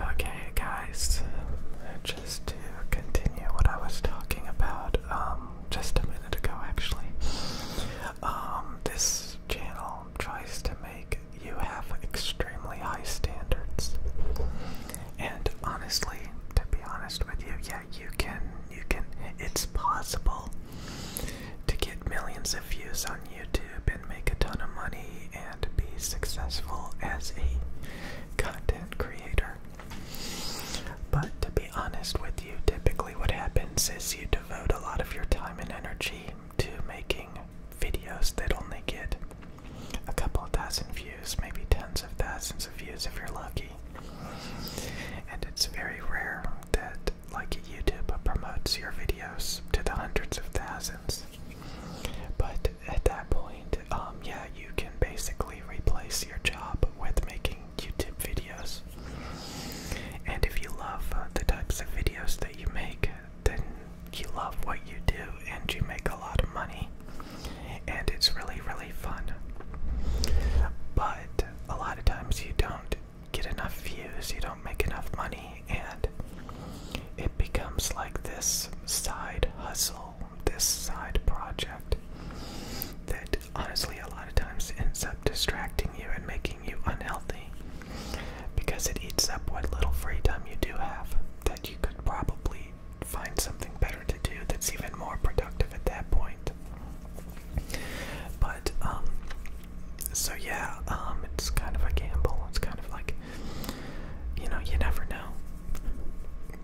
Okay, guys, just to continue what I was talking about um, just a minute ago, actually, um, this channel tries to make you have extremely high standards, and honestly, to be honest with you, yeah, you can, you can, it's possible to get millions of views on YouTube and make a ton of money and be successful as a content creator. But to be honest with you, typically what happens is you devote a lot of your time and energy to making videos that only get a couple of thousand views, maybe tens of thousands of views if you're lucky. And it's very rare that, like YouTube, promotes your videos to the hundreds of thousands. But at that point, um, yeah, you can basically replace your job with making YouTube videos. And if you love uh, the types of videos that you make, then you love what you do and you make a lot of money. And it's really, really fun. But a lot of times you don't get enough views, you don't make enough money, and it becomes like this side hustle, this side project that honestly a lot of times ends up distracting you and making you unhealthy because it eats up what little free time you do have that you could probably find something better to do that's even more productive at that point. But um, so yeah, um, it's kind of a gamble. It's kind of like, you know, you never know.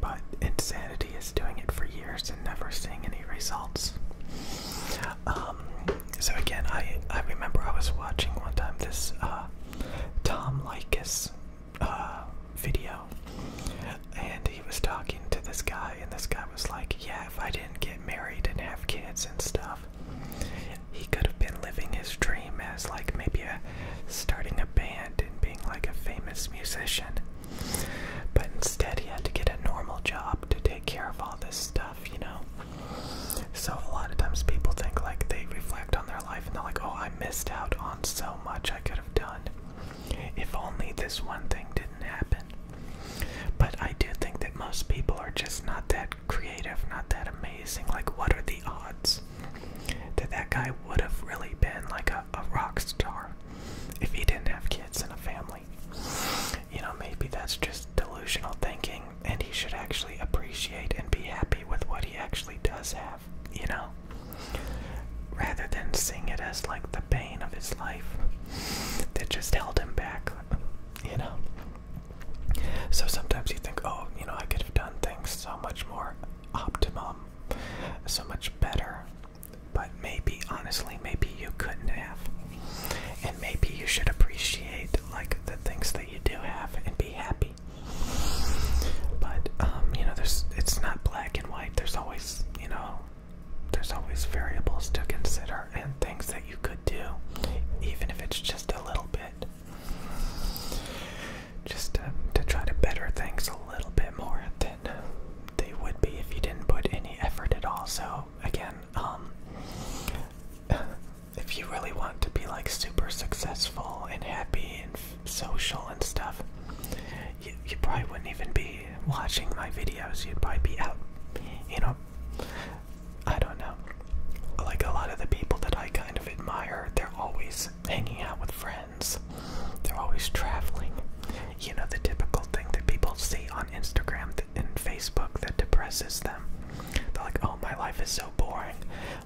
But insanity is doing it for years and never seeing any results. Um, so again, I I remember I was watching one time this uh, Tom Likas uh, video, and he was talking to this guy, and this guy was like, "Yeah, if I didn't get married and have kids and stuff, he could have been living his dream as like maybe a starting a band and being like a famous musician. But instead he had to get a normal job to take care of all this stuff, you know. So a lot of times people think like they reflect on their life and they're like, "Oh, I missed out on so much I could have done if only this one thing didn't happen." But I do think that most people are just not that creative, not that amazing. Like, what are the odds that that guy would have really been like a, rock star if he didn't have kids and a family? You know, maybe that's just delusional thinking, and he should actually appreciate and be happy with what he actually does have, you know? Rather than seeing it as like the pain of his life that just held him back, you know? So sometimes you think, oh, you know, I could have done things so much more optimal, so much better. But maybe, honestly, maybe you couldn't have. And maybe you should appreciate, like, the things that you do have and be happy. But, um, you know, there's, it's not black and white. There's always, you know, there's always variables to consider and things that you could do, even if it's just a little bit. Just um, to, try to better things a little bit more than they would be if you didn't put any effort at all. So again, um, if you really want to be like super successful and happy and social and stuff, you probably wouldn't even be watching my videos. You'd probably be out, you know, I don't know. Like a lot of the people that I kind of admire, they're always hanging out with friends. They're always traveling. You know, the typical thing that people see on Instagram and Facebook that depresses them. They're like, oh, my life is so boring.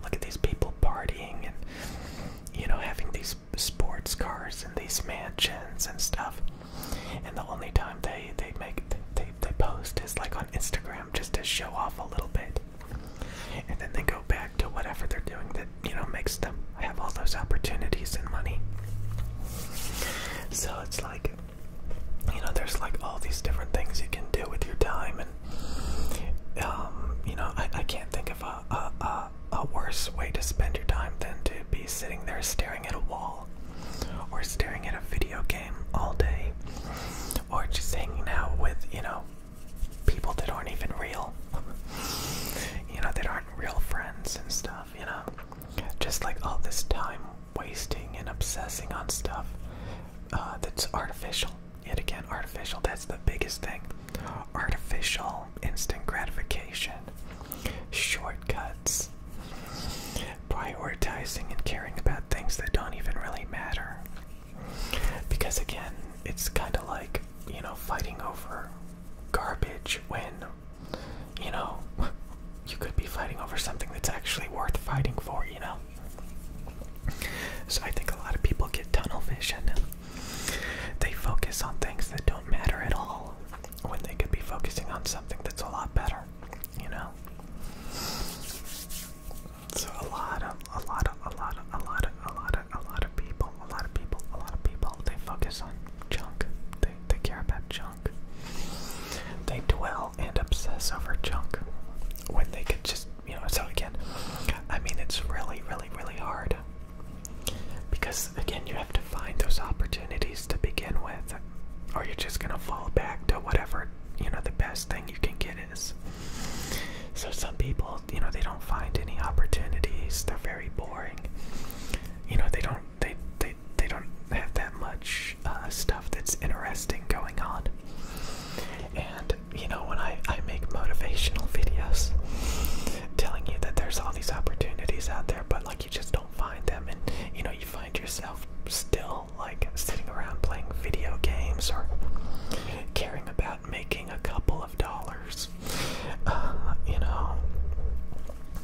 Look at these people partying and, you know, having these sports cars and these mansions and stuff. And the only time they, they make, they, they post is like on Instagram him just to show off a little bit. And then they go back to whatever they're doing that, you know, makes them have all those opportunities and money. So it's like, you know, there's like all these different things you can do with your time. And, um, you know, I, I can't think of a, a, a, a worse way to spend your time than to be sitting there staring at a wall or staring at a video game all day, or just hanging out with, you know, people that aren't even real, you know, that aren't real friends and stuff, you know. Just like all this time wasting and obsessing on stuff uh, that's artificial. Yet again, artificial, that's the biggest thing. Artificial instant gratification, shortcuts prioritizing and caring about things that don't even really matter. Because again, it's kind of like, you know, fighting over garbage when, you know, you could be fighting over something that's actually worth fighting for, you know? So I think a lot of people get tunnel vision. They focus on things that don't matter at all when they could be focusing on something that's a lot better you know. So a lot of, a lot of, a lot of, a lot of, a lot of, a lot of people, a lot of people, a lot of people, they focus on junk. They they care about junk. They dwell and obsess over junk when they could just, you know. So again, I mean, it's really, really, really hard because again, you have to find those opportunities to begin with, or you're just gonna fall back to whatever you know the best thing you can get is so some people you know they don't find any opportunities they're very boring you know they don't they they, they don't have that much uh, stuff that's interesting going on and you know when I, I make motivational videos telling you that there's all these opportunities out there but like you just don't find them and you know you find yourself still like sitting around playing video games or caring about making a couple of dollars, uh, you know,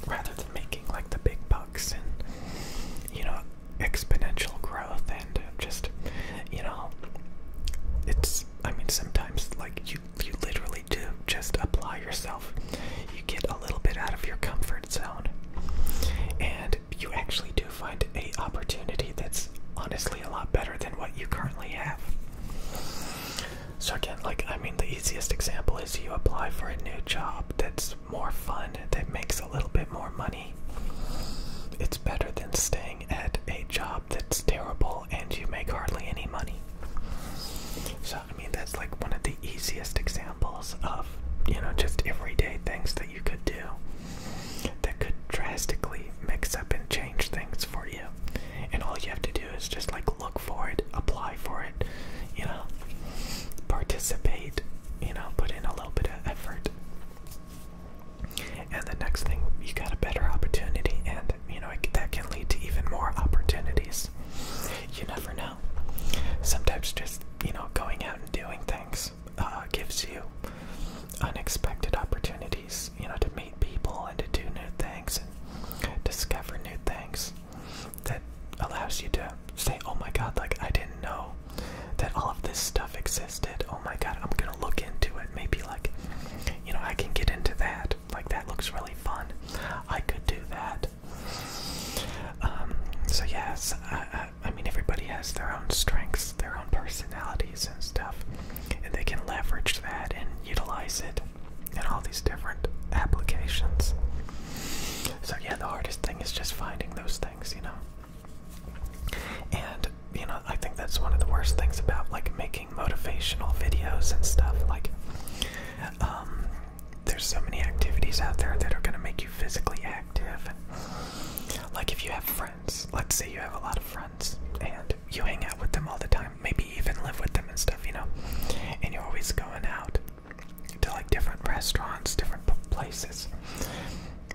rather than making like the big bucks and, you know, exponential growth and just, you know, it's, I mean, sometimes like you, you literally do just apply yourself. You get a little bit out of your comfort zone. And you actually do find a opportunity that's honestly a lot better than what you currently have. So again, like I mean the easiest example is you apply for a new job that's more fun, that makes a little bit more money. It's better than staying at a job that's terrible and you make hardly any money. So I mean that's like one of the easiest examples of, you know, just everyday things that you could do that could drastically mix up and change things for you. And all you have to do is just like look for it, apply for it, you know, participate, you know, put in a little bit of effort. And the next thing, you got a better opportunity, and you know, that can lead to even more opportunities. You never know. Sometimes just, you know, going out and doing things uh, gives you unexpected opportunities, you know, to meet people and to do new things and discover new things that allows you to say, oh my god, like, I didn't know that all of this stuff existed. Oh my god, I'm gonna look into it. Maybe, like, you know, I can get into that. Like, that looks really fun. I could do that. Um, so yes, I, mean everybody has their own strengths, their own personalities and stuff, and they can leverage that and utilize it in all these different applications. So yeah, the hardest thing is just finding those things, you know. And you know, I think that's one of the worst things about like making motivational videos and stuff. Like, um, there's so many activities out there that are going to make you physically active. Like if you have friends, let's say you have a lot of friends and you hang out with them all the time, maybe even live with them and stuff, you know, and you're always going out to like different restaurants, different places.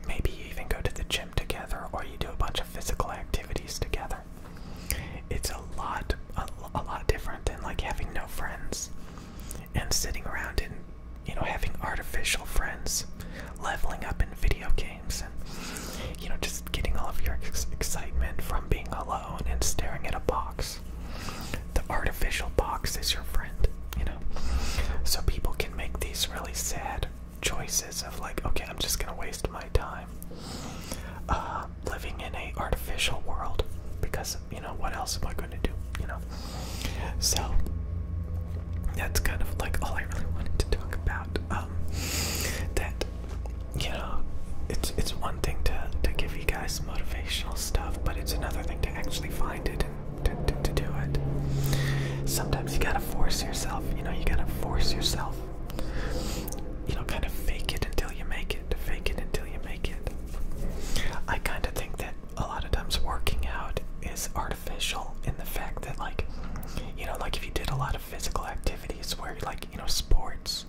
Maybe you even go to the gym together or you do a bunch of physical activities together. It's a lot, a, a lot different than like having no friends and sitting around and you know having artificial friends leveling up in video games and you know just getting all of your excitement from being alone and staring at a box the artificial box is your friend you know so people can make these really sad choices of like okay i'm just gonna waste my time uh, living in a artificial world because you know, what else am I going to do? You know, so that's kind of like all I really wanted to talk about. Um, that you know, it's it's one thing to to give you guys motivational stuff, but it's another thing to actually find it and to, to, do it. Sometimes you gotta force yourself. You know, you gotta force yourself. You know, kind of fake it until you make it. To Fake it until you make it. I kind of think that that a lot of times working out is artificial in the fact that like you know like if you did a lot of physical activities where like you know sports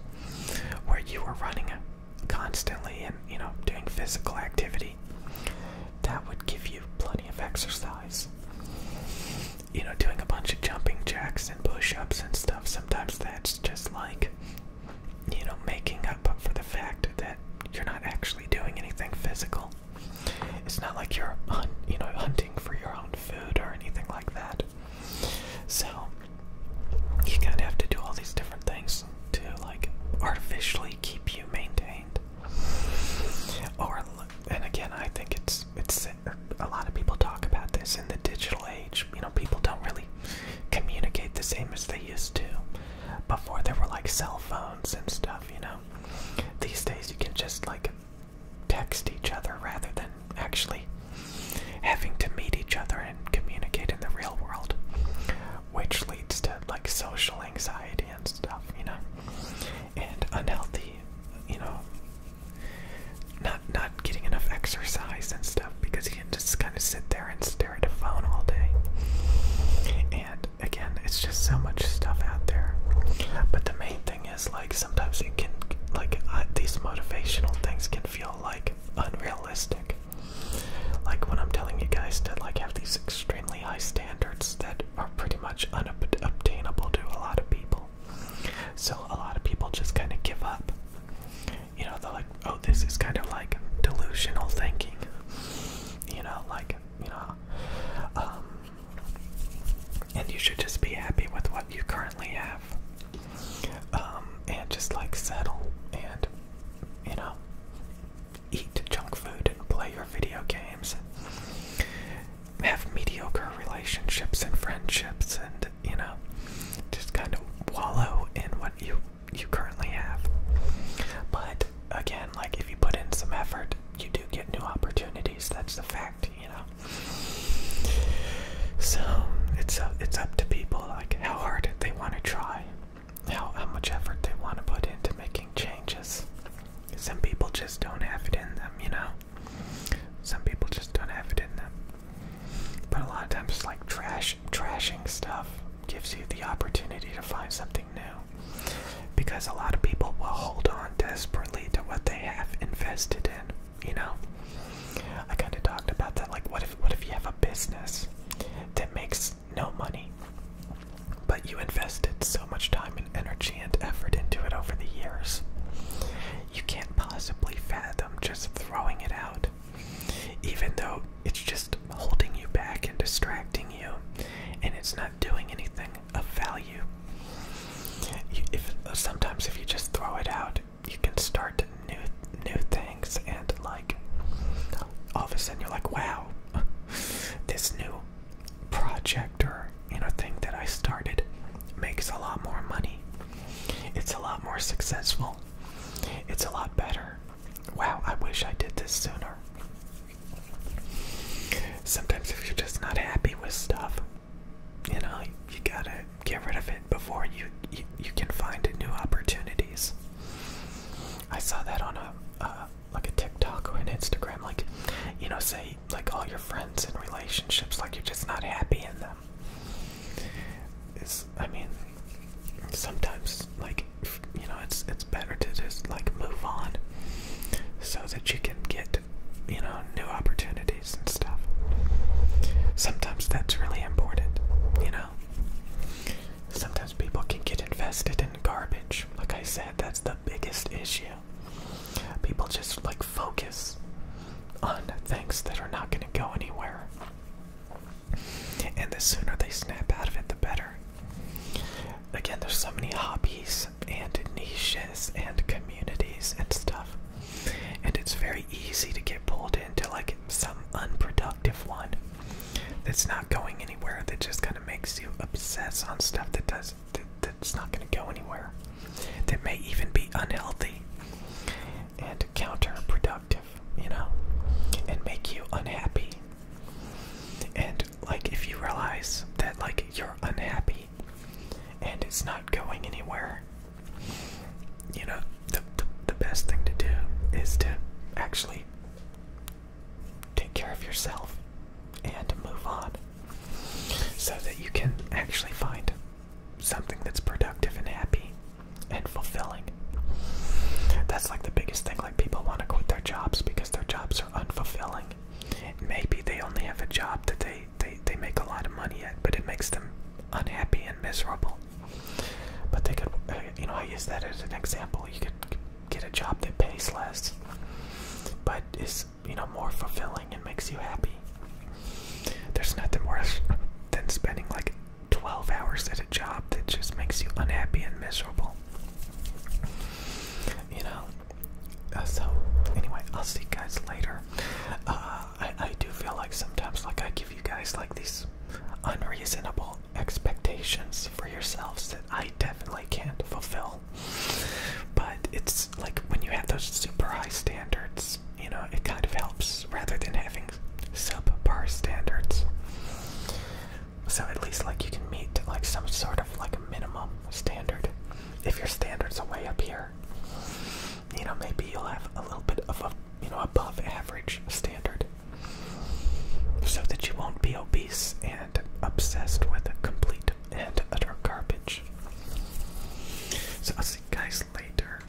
where you were running constantly and you know doing physical activity that would give you plenty of exercise you know doing a bunch of jumping jacks and push-ups and stuff sometimes that's just like you know making but for the fact that you're not actually doing anything physical. It's not like you're you know hunting for your own food or anything like that. So you kind of have to do all these different things to like artificially keep you maintained. Or and again, I think it's it's a lot of people talk about this in the digital age. You know, people don't really communicate the same as they used to before there were like cell phones and stuff, you know. These days you can just like text each other rather than actually having to meet each other and communicate in the real world, which leads to like social anxiety and stuff, you know, and unhealthy, you know, not not getting enough exercise and stuff because and just kind of sit there and stare at a phone all day. And again, it's just so much stuff out there. But the main thing is, like, sometimes it can, like, these motivational things can feel like unrealistic. Like when I'm telling you guys to, like, have these extremely high standards that are pretty much unobtainable to a lot of people. So a lot of people just kind of give up you know they're like oh this is kind of like delusional thinking you know like you know um, and you should just be happy with what you currently have um, and just like settle and you know eat junk food and play your video games have mediocre relationships and friendships and you know just kind of wallow in what you you currently have. But again, like if you put in some effort, you do get new opportunities. That's the fact, you know. So it's up, it's up to people like how hard they want to try, how how much effort they want to put into making changes. Some people just don't have it in them, you know. Some people just don't have it in them. But a lot of times, it's like trash trashing stuff gives you the opportunity to find something new because a lot of people will hold on desperately to what they have invested in you know i kind of talked about that like what if what if you have a business that makes no money but you invested so much time and energy and effort into it over the years you can't possibly fathom just throwing it out even though it's just holding you back and distracting you, and it's not doing anything of value. sometimes if you just throw it out, you can start new new things, and like all of a sudden you're like, wow, this new project or you know thing that I started makes a lot more money. It's a lot more successful. It's a lot better. Wow, I wish I did this sooner. Sometimes, if you're just not happy with stuff, you know, you gotta get rid of it before you you, can find new opportunities. I saw that on a like a TikTok or an Instagram, like you know, say like all your friends and relationships, like you're just not happy in them. I mean, sometimes like you know, it's it's better to just like move on, so that you can get you know new opportunities and stuff. Sometimes that's really important, you know. Sometimes people can get invested in garbage. Like I said, that's the biggest issue. People just like focus on things that are not going to go anywhere and the sooner they snap out of it, the better. Again, there's so many hobbies and niches and communities and stuff, and it's very easy to get pulled into like some unproductive one that's not going anywhere. That just kind of makes you obsess on stuff that does that, that's not going to go anywhere. That may even be unhealthy and counterproductive you know, and make you unhappy. And like if you realize that like you're unhappy and it's not going anywhere, you know, the, the best thing to do is to actually take care of yourself and move on so that you can actually find something that's productive and happy and fulfilling. That's like the biggest thing. Like people want to quit their jobs because their jobs are unfulfilling. Maybe they only have a job that they, they, they make a lot of money at, but it makes them unhappy and miserable. But they could, uh, you know, I use that as an example. You could get a job that pays less, but is, you know, more fulfilling and makes you happy. There's nothing worse than spending like 12 hours at a job that just makes you unhappy and miserable. You know? Uh, so, anyway, I'll see you guys later. Uh, I, I do feel like sometimes, like, I give you guys, like, these unreasonable expectations for yourselves that I definitely can't fulfill. But it's like when you have those super high standards you know it kind of helps rather than having subpar standards. So at least like you can meet like some sort of like a minimum standard. If your standards are way up here, you know maybe you'll have a little bit of a you know above average standard, so that you won't be obese and obsessed with complete and utter garbage. So I'll see you guys later.